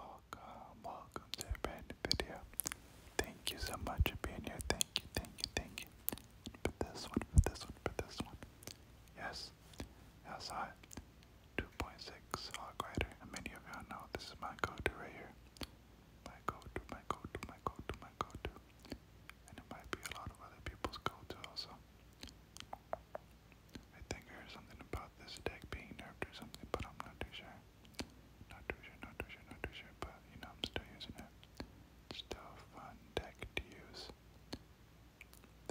Welcome, welcome to a brand new video. Thank you so much for being here. Thank you, thank you, thank you. For this one, for this one, for this one. Yes, yes, I. 2.6 Hog Rider. And many of y'all know this is my go-to right here. My go-to, my go-to, my go-to, my go-to. And it might be a lot of other people's go-to also. I think I heard something about this deck being nerfed or something, but I'm not too sure. Not too sure, not too sure, not too sure, but you know, I'm still using it. It's still a fun deck to use.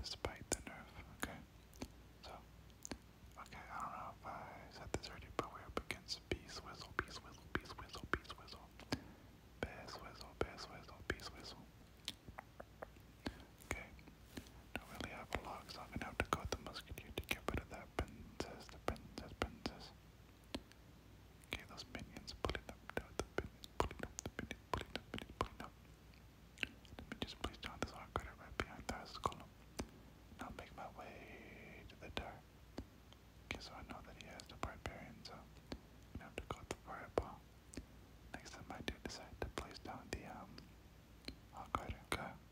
Despite the nerf, okay? So, okay, I don't know if I said this already, but we're up against Beast Whistle, Beast Whistle, Beast Whistle, Beast Whistle. Bass Whistle, Bass Whistle, Beast Whistle. Okay, don't really have a lock, so I'm gonna have to go with the musketeer to get rid of that princess, the princess, princess. Okay, those minions pulling up, down the minions pulling up, the minions pulling up, the minions pulling up. Let me just place down this arc cutter right behind the house column. Now make my way to the door. Okay, so I know that he has the barbarian, so I'm gonna have to go with the fireball. Next time I do decide to place down the um, arc cutter, okay.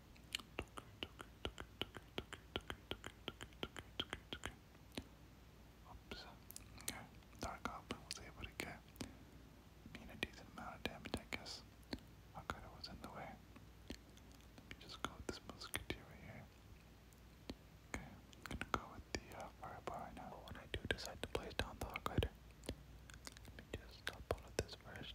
Oops. Okay. Dark Goblin was able to get mean a decent amount of damage, I guess. Hakata was in the way. Let just go with this musketeer right here. Okay, I'm gonna go with the fireball right now. When I do decide to place down the Hakata, let me just stop all of this first.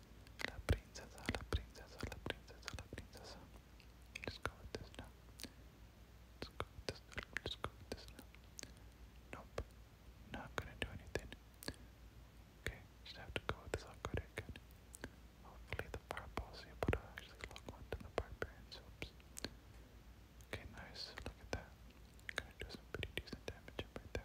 La princesa, la princesa, la princesa, la princesa. Let's go with this now. Let's go with this now. Let's go with this now. Nope. Not gonna do anything. Okay, just have to go with this upgrade again. Hopefully the fireball's able to actually lock onto the barbarian soaps. Okay, nice. Look at that. Gonna do some pretty decent damage up right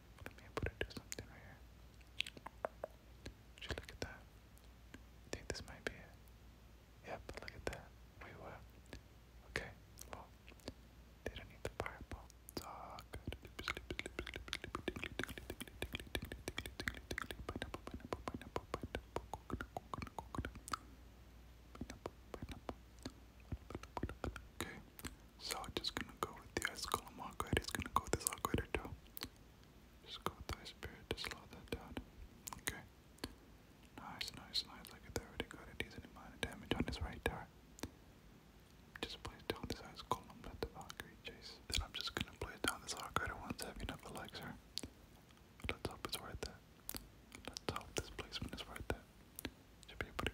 let me put it do something right here. Should look at that. I think this might be it. Yep, look at that. Wait, what? Okay, well, they don't need fireball. Okay, so i just gonna go with the Escalum Aquaid. He's gonna go with his Aquaid too. Just go with the Spirit to slow that down. Okay. Nice, nice, nice. Like it already got a decent amount of damage on his right tower. Just place down this ice column, let the Valkyrie chase. Then I'm just gonna place down this Arcade once heavy enough elixir. Let's hope it's worth it. Let's hope this placement is worth it. Should be able to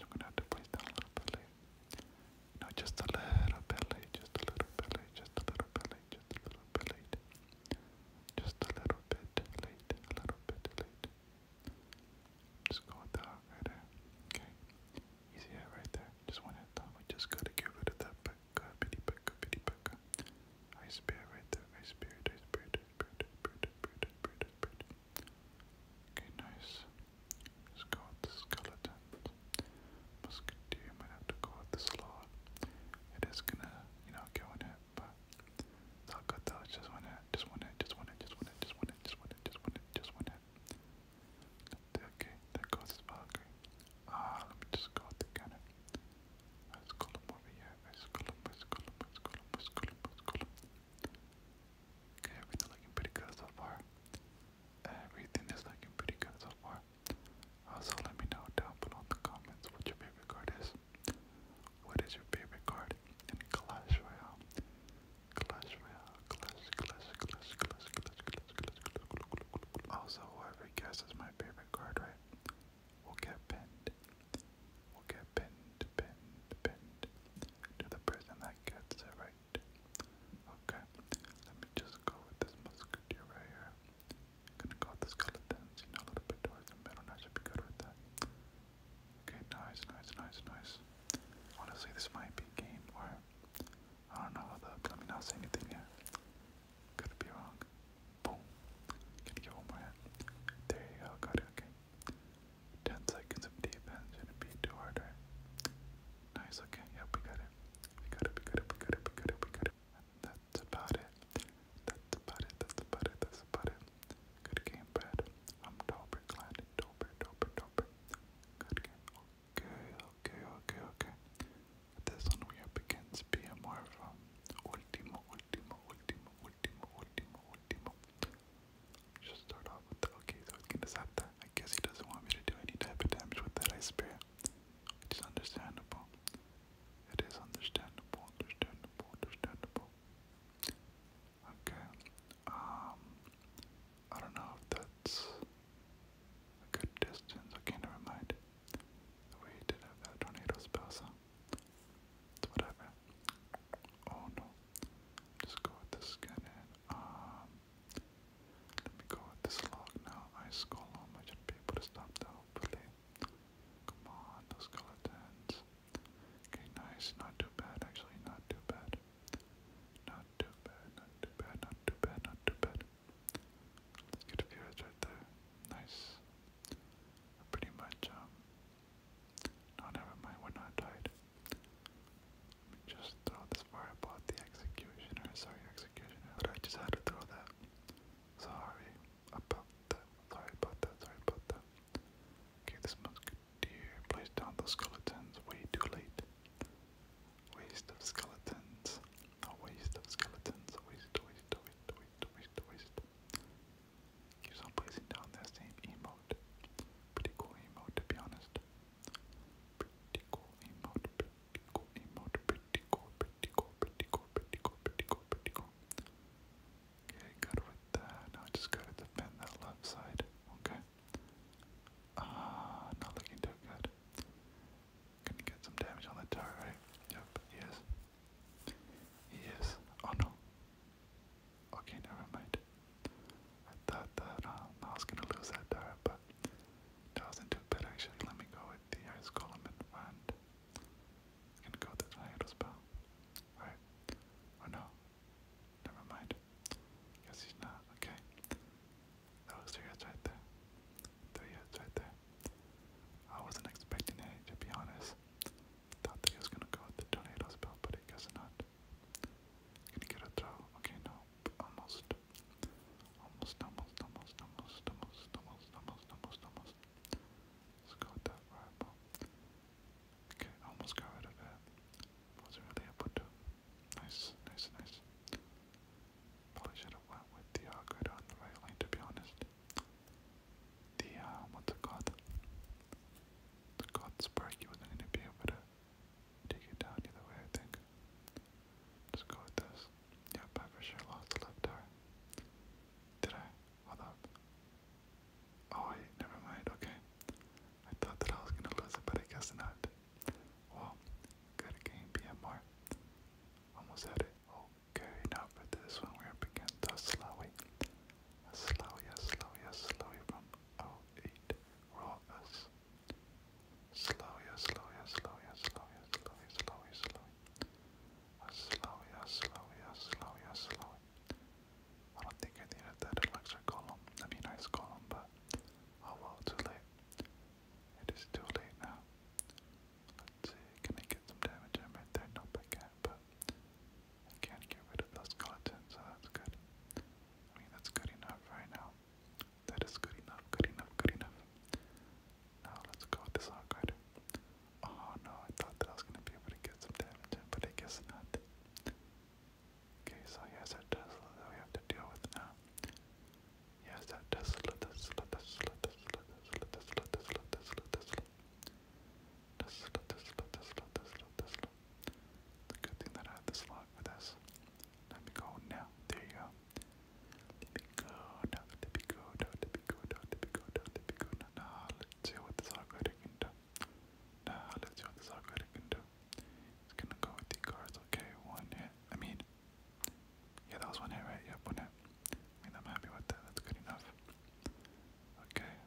I'm gonna have to place down a little belly. No, just a little belly, just a little belly, just a little belly, just a little bit late. Just a little bit late, a little bit late. Just go with right there. Okay. Easy hit right there. Just one hit down. just gotta get rid of that pekka, uh, bitty pekka, uh, bitty pekka. Uh. Ice bear right there. Ice beard, ice beard, ice beard, ice beard, ice beard, ice Okay, nice. Just go with the skeleton. Musketeer might have to go with the slot. It is gonna, you know, go in it, but it's all good though. just one hit, just one hit, just one hit, just one hit, just one hit, just one hit, just one hit, just one hit. Okay, there goes his Valkyrie. Ah, let me just go with the Let's call him over here. Let's call him, let's call him, let's call him, let's call him, let Okay, everything looking pretty good so far. Everything is looking pretty good so far. Also, let me know down below in the comments what your favorite card is. What is your favorite card in Clash Royale? Clash Royale, Clash, Clash, Clash, Clash, Clash, Clash, Clash, Clash. Also, whoever guesses my favorite card right will get pinned. will get get pinned, pinned, pinned to the person that gets it right. Okay, let me just go with this musketeer right here. Gonna go with the skeletons, a little bit towards the middle, and I be good with that. Okay, nice, nice, nice, nice. Honestly, this might be game where I don't know how the let me not say anything yet. Could be wrong. Boom. Can you get one more hit? There you go, got it, okay. 10 seconds of defense, should it be too harder? Nice, okay, yep, we got it. We got it, we got it, we got it, we got it, we got it. That's about it. That's about it, that's about it, that's about it. Good game, Brad. I'm Dober, glad. Dober, Dober, Dober. Good game. Okay, okay, okay, okay. This one we are against being more of Ultimo, Ultimo, Ultimo, Ultimo, Ultimo, Ultimo. Just start off with the okay, so it's gonna zap that. I guess he doesn't want me to do any type of damage with that ice spear. Which understandable. It is understandable, understandable, understandable. Okay. Um I don't know if that's a good distance. Okay, never mind. We did have that tornado spell, so it's whatever. Oh no. Just go with this cannon. Um, let me go with this log now. Ice column. I should be to stop hopefully. Come on, those skeletons. Okay, nice. Not too bad actually, not too bad. Not too bad, not too bad, not too bad, not too bad. Let's get a few right there. Nice. Pretty much um, no, oh, never mind, we're not tied. just throw this part about the executioner. Sorry, executioner. But I just had to throw that. Sorry about that. Sorry about that. Sorry about that. Okay, this musketeer placed down the skeletons way too late. Waste of skeletons. A waste of skeletons. waste, waste, waste, waste, waste, waste keeps on placing down that same emote. Pretty cool emote, to be honest. Pretty cool emote, pretty cool emote, pretty cool, pretty cool, pretty cool, pretty cool, pretty cool, pretty cool. that. Now just gotta defend that left side. Okay. Ah, not looking too good. Gonna get some damage on the tower, Yep, he is. Oh no. Okay, never mind. I thought that um, I was gonna lose that dart, but that wasn't too bad actually. Let me go with the ice golem in front. It's gonna go with the tornado spell. Alright. Oh no. Never mind. Guess he's not. Okay. That was three hits right there. Three hits right there. I wasn't expecting it to be honest. Thought that he was gonna go with the tornado spell, but he guess not. Gonna get a throw. Okay, no. Almost. Almost, almost, almost, almost, almost, almost, almost, almost, almost. Let's go with that rifle. Okay, almost got rid of it. Wasn't really able to. Nice, nice, nice. Probably should have went with the upgrade on the right lane, to be honest the uh, what's it called? The called spark. You wasn't gonna be able to take it down either way. I think. Just go with this. Yep, I for sure lost the left tower. Did I? Hold Oh never mind. Okay. I thought that I was gonna lose it, but I guess not. Well, good game, BMR. Almost had it. Okay, now for this one, we're up against the Slowia, Slowia, Slowia from 08 Rawus. Slowia, Slowia, Slowia, Slowia, Slowia, Slowia, Slowia. Slowia, Slowia, Slowia, Slowia. I don't think I needed that elixir column. I mean, ice column, but oh well, too late. It is too late now. Let's see, can I get some damage in right there? Nope, I can but I can't get rid of those skeletons, so that's good. I mean, that's good enough right now. That is good enough, good enough, good enough. Now let's go with this hog Oh no, I thought that I was gonna be able to get some damage but I guess not. Okay, so here's our Tesla that we have to deal with now. Here's that Tesla, Tesla, Tesla, Tesla, Tesla, Tesla, Tesla, Tesla, Tesla. Tesla, Tesla, Tesla, Tesla, Tesla. It's a good thing that I have this lock with this. Let me go now. There you go. Let me go now. Let me go now. Let me go now. Let me go now. Let me go now. Now let's see what this operator can do. Now let's see what this operator can do. It's gonna go with the cards. Okay, one hit. I mean, yeah, that was one hit, right? Yep, one hit. I mean, I'm happy with that. That's good enough. Okay,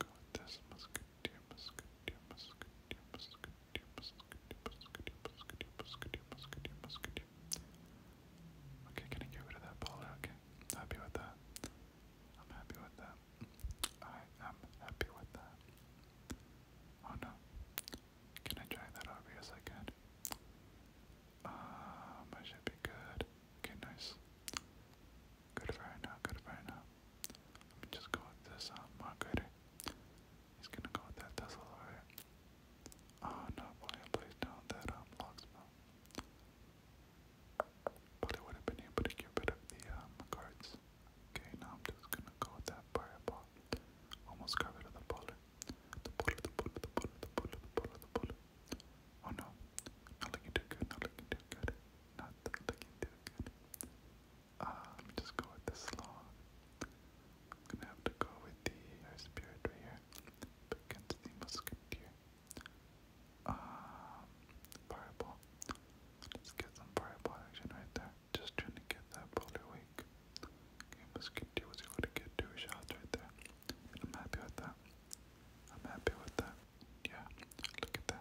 Go with Okay, can I get rid of that ball? Okay, happy with that. I'm happy with that. I am happy with that. Oh no. Can I drag that over? Yes, I can. Um, I should be good. Okay, nice. Good for now, good for now. Let me just go with this uh, He's gonna go with that Tesla, right? Oh no, boy, I placed down that um, locksmith. Probably would have been able to get rid of the um, uh, guards. Okay, now I'm just gonna go with that fireball. Almost got rid of the bullet. The bullet, the bullet, the bullet, the bullet, the bullet, the bullet. Oh no, not looking too good, not looking too good, not looking too good. Uh, um, let me just go with the Sloth. I'm gonna have to go with the Air Spirit right here. against the Musketeer. Um, Fireball. Let's get some Fireball action right there. Just trying to get that Boulder Wake. Okay, Musketeer was able to get two shots right there. I'm happy with that. I'm happy with that. Yeah, look at that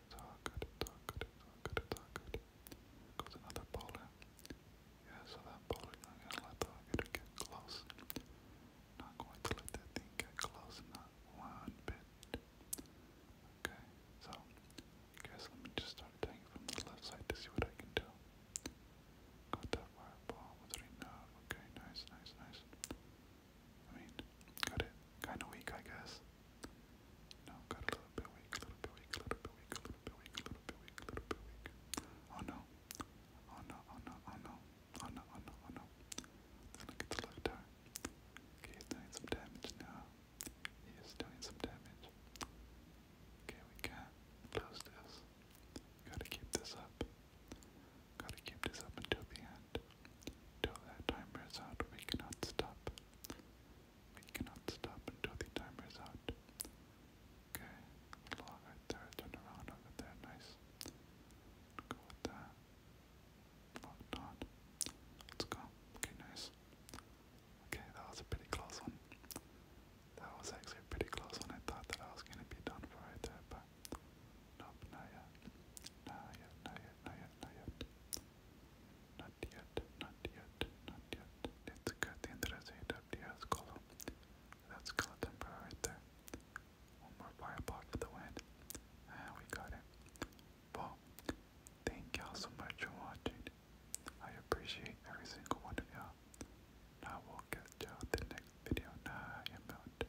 good, good, it's good, it's good, it's good. Goes another bowler. Yeah, so that bowler, I'm gonna let the hugger get close. Not going to let that thing get close, not one bit. Okay, so guess let me just start attacking from the left side to see what I can do. Got that fireball with three now. Okay, nice, nice, nice. I mean, got it kind of weak, I guess. No, got a little bit weak, a little bit weak, a little bit weak, a little bit weak, a little bit weak, a little bit weak. Oh no! Oh no! Oh no! Oh no! Oh no! Oh no! Oh, look at the left eye. Okay, doing some damage now. He is doing some damage. Okay, we can close this. Gotta keep this up. Gotta keep this up until the end. Till that timer is out, we cannot stop. We cannot stop until the timer is out. Okay, log right there, turn around over there, nice. Go with that. Locked on. Let's go. Okay, nice. Okay, that was a pretty close one. That was actually a pretty close one. I thought that I was gonna be done for right there, but nope, not yet. Not yet, not not yet, not yet, not yet. Let's cut the interesting WS column. That's skeleton bro right there. One more fireball for the win. And we got it. Well, thank y'all so much for watching. I appreciate every single one of y'all. Now we'll catch y'all the next video. I'm out.